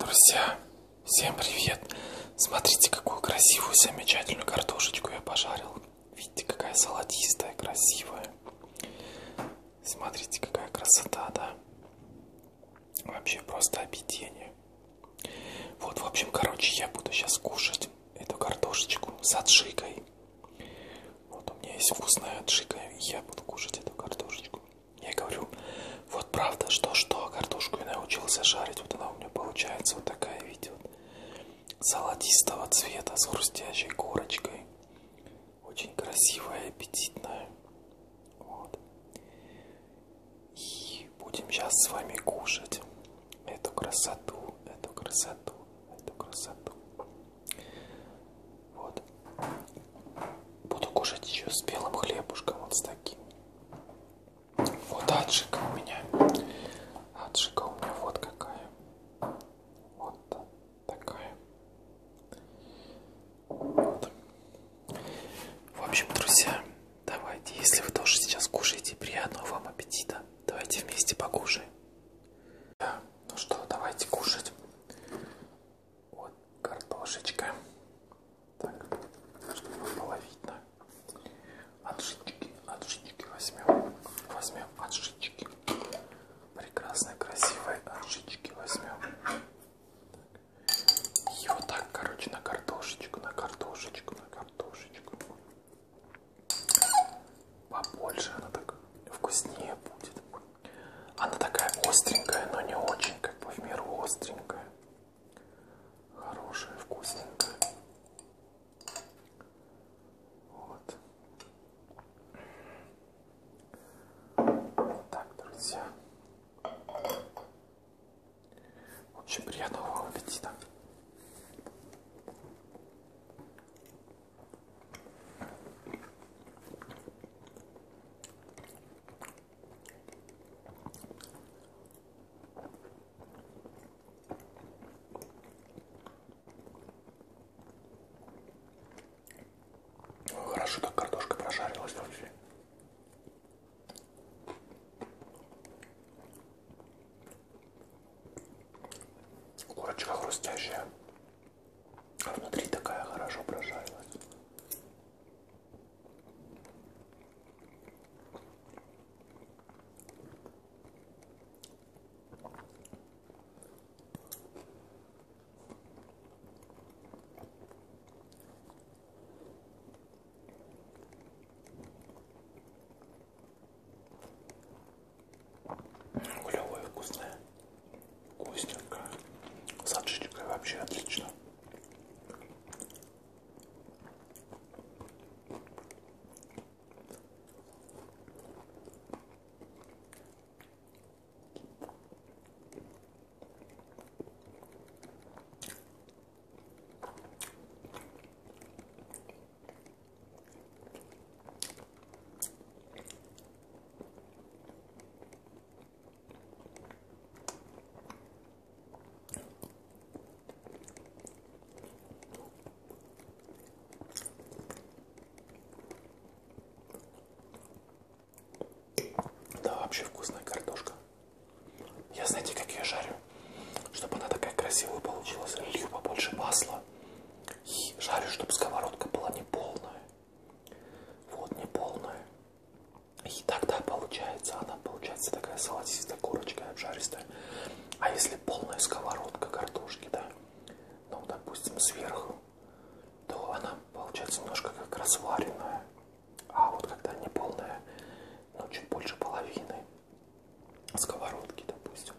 Друзья, всем привет! Смотрите, какую красивую, замечательную картошечку я пожарил. Видите, какая салатистая, красивая. Смотрите, какая красота, да? Вообще просто объедение. Вот, в общем, короче, я буду сейчас кушать эту картошечку с отжигой. Вот у меня есть вкусная отжига, и я буду кушать эту картошечку. Я говорю, вот правда, что-что, картошку я научился жарить, вот она у меня получается вот такая, видите, вот, золотистого цвета с хрустящей корочкой. Очень красивая и аппетитная. Вот. И будем сейчас с вами кушать эту красоту, эту красоту, эту красоту. Вот. Буду кушать еще с белым хлебушком, вот с таким. Вот аджика у меня. Аджика у меня вот какая. Вот такая. Вот. В общем, друзья, давайте, если вы тоже сейчас кушаете, приятного вам аппетита. Давайте вместе покушаем. Ну что, давайте кушать. Вот картошечка. Так, чтобы было видно. Отжитчики, отжитчики возьмем. Возьмем отжитчики. Прекрасные, красивые отжитчики возьмем. И вот так, короче, на картошечку, на картошечку, на картошечку. Побольше она так вкуснее будет. Она такая остренькая, но не очень, как бы в меру остренькая. Хорошая, вкусненькая. Вот. вот так, друзья. Очень приятного вам аппетита. Хорошо так картошка прошарилась вообще. Курочка хрустящая. А внутри такая хорошо прожарилась. Клевая, вкусная. Вкусненькая. С аджичкой вообще отлично. Да, вообще вкусная картошка. Я знаете, как ее жарю? Чтобы она такая красивая получилась. Лью побольше масла. И жарю, чтобы сковородка была не полная. Вот, не полная. И тогда получается, она получается такая салатистая корочка обжаристая. А если полная сковородка картошки, да, ну, допустим, сверху, то она получается немножко как разваренная. А вот когда не полная, ну, чуть больше половины, сковородки, допустим,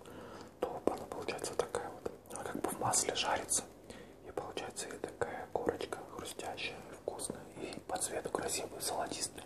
то она получается такая вот, она как бы в масле жарится, и получается и такая корочка хрустящая, вкусная, и по цвету красивая, золотистая.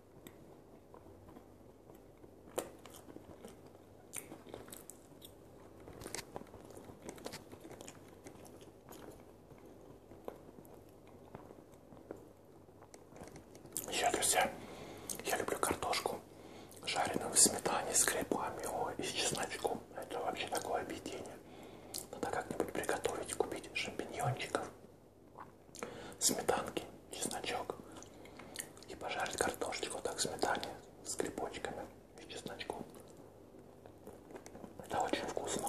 Еще, друзья, я люблю картошку жареную в сметане с грибами ой, и с чесночком. Это вообще такое объедение. Надо как-нибудь приготовить, купить шампиньончиков сметанки, чесночок и пожарить картошечку так в сметане с грибочками и чесночком. Это очень вкусно.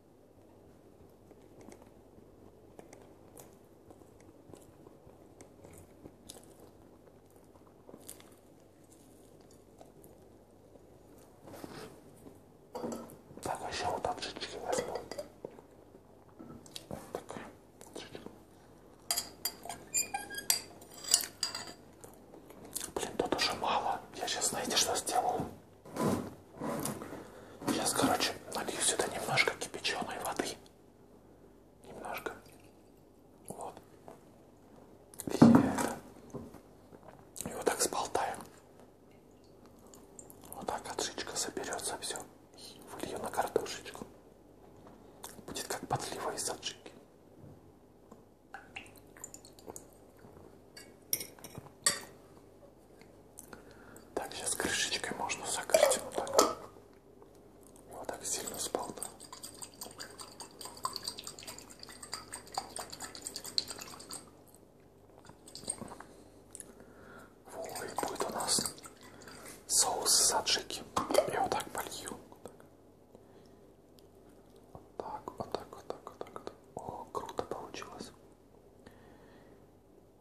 Так, а еще вот от жички возьму. Вот такая жичка. Блин, тут уже мало. Я сейчас, знаете, что сделаю? Сейчас, короче, налью сюда немножко кипяченой воды. Немножко. Вот. И это. И вот так сболтаем. Вот так отжичка соберется все. И влью на картошечку. Будет как подлива из отжики. Так, сейчас крышечкой можно закрыть вот так. Вот так сильно сполна. Вот, и будет у нас соус саджики. Я вот так полью. Вот так. Так, вот так, вот так, вот так. Вот. О, круто получилось.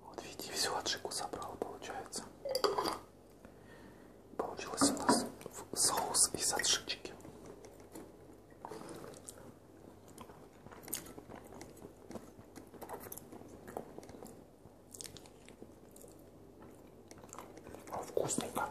Вот видите, всю отжигу собрал, получается. Получилось у нас соус из отжички. Вкусненько.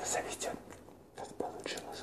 Назовите, как получилось.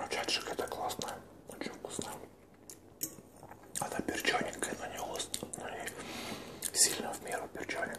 А Чаджик это классно, очень вкусно. Это а перчененькая, но не остро, но не сильно в меру перчененькая.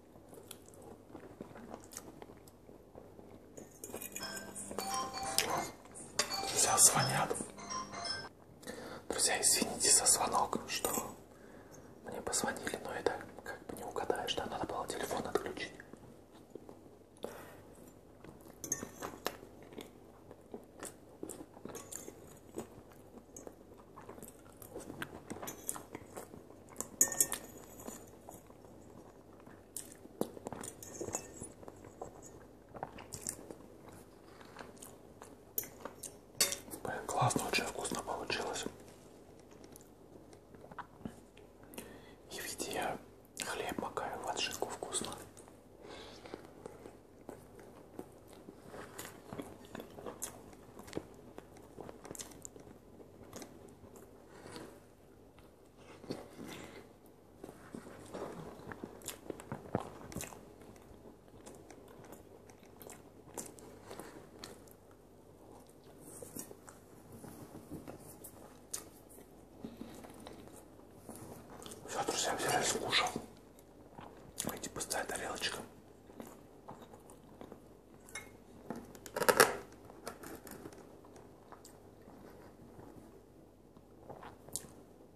Друзья, звонят. Друзья, извините за звонок, что мне позвонили, но это как бы не угадаешь, да, надо было телефон отключить. Блин, классно, очень вкусно получилось. И ведь я хлеб макаю в отжимку вкусно. Все, друзья, взяли скушал. Эти пустая тарелочка.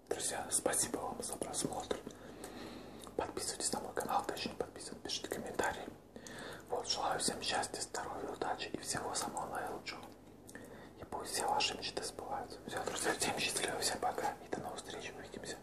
Друзья, спасибо вам за просмотр. Подписывайтесь на мой канал, точнее подписывайтесь, пишите комментарии. Вот, желаю всем счастья, здоровья, удачи и всего самого наилучшего. И пусть все ваши мечты сбываются. Все, друзья, всем счастливо, всем пока и до новых встреч, увидимся.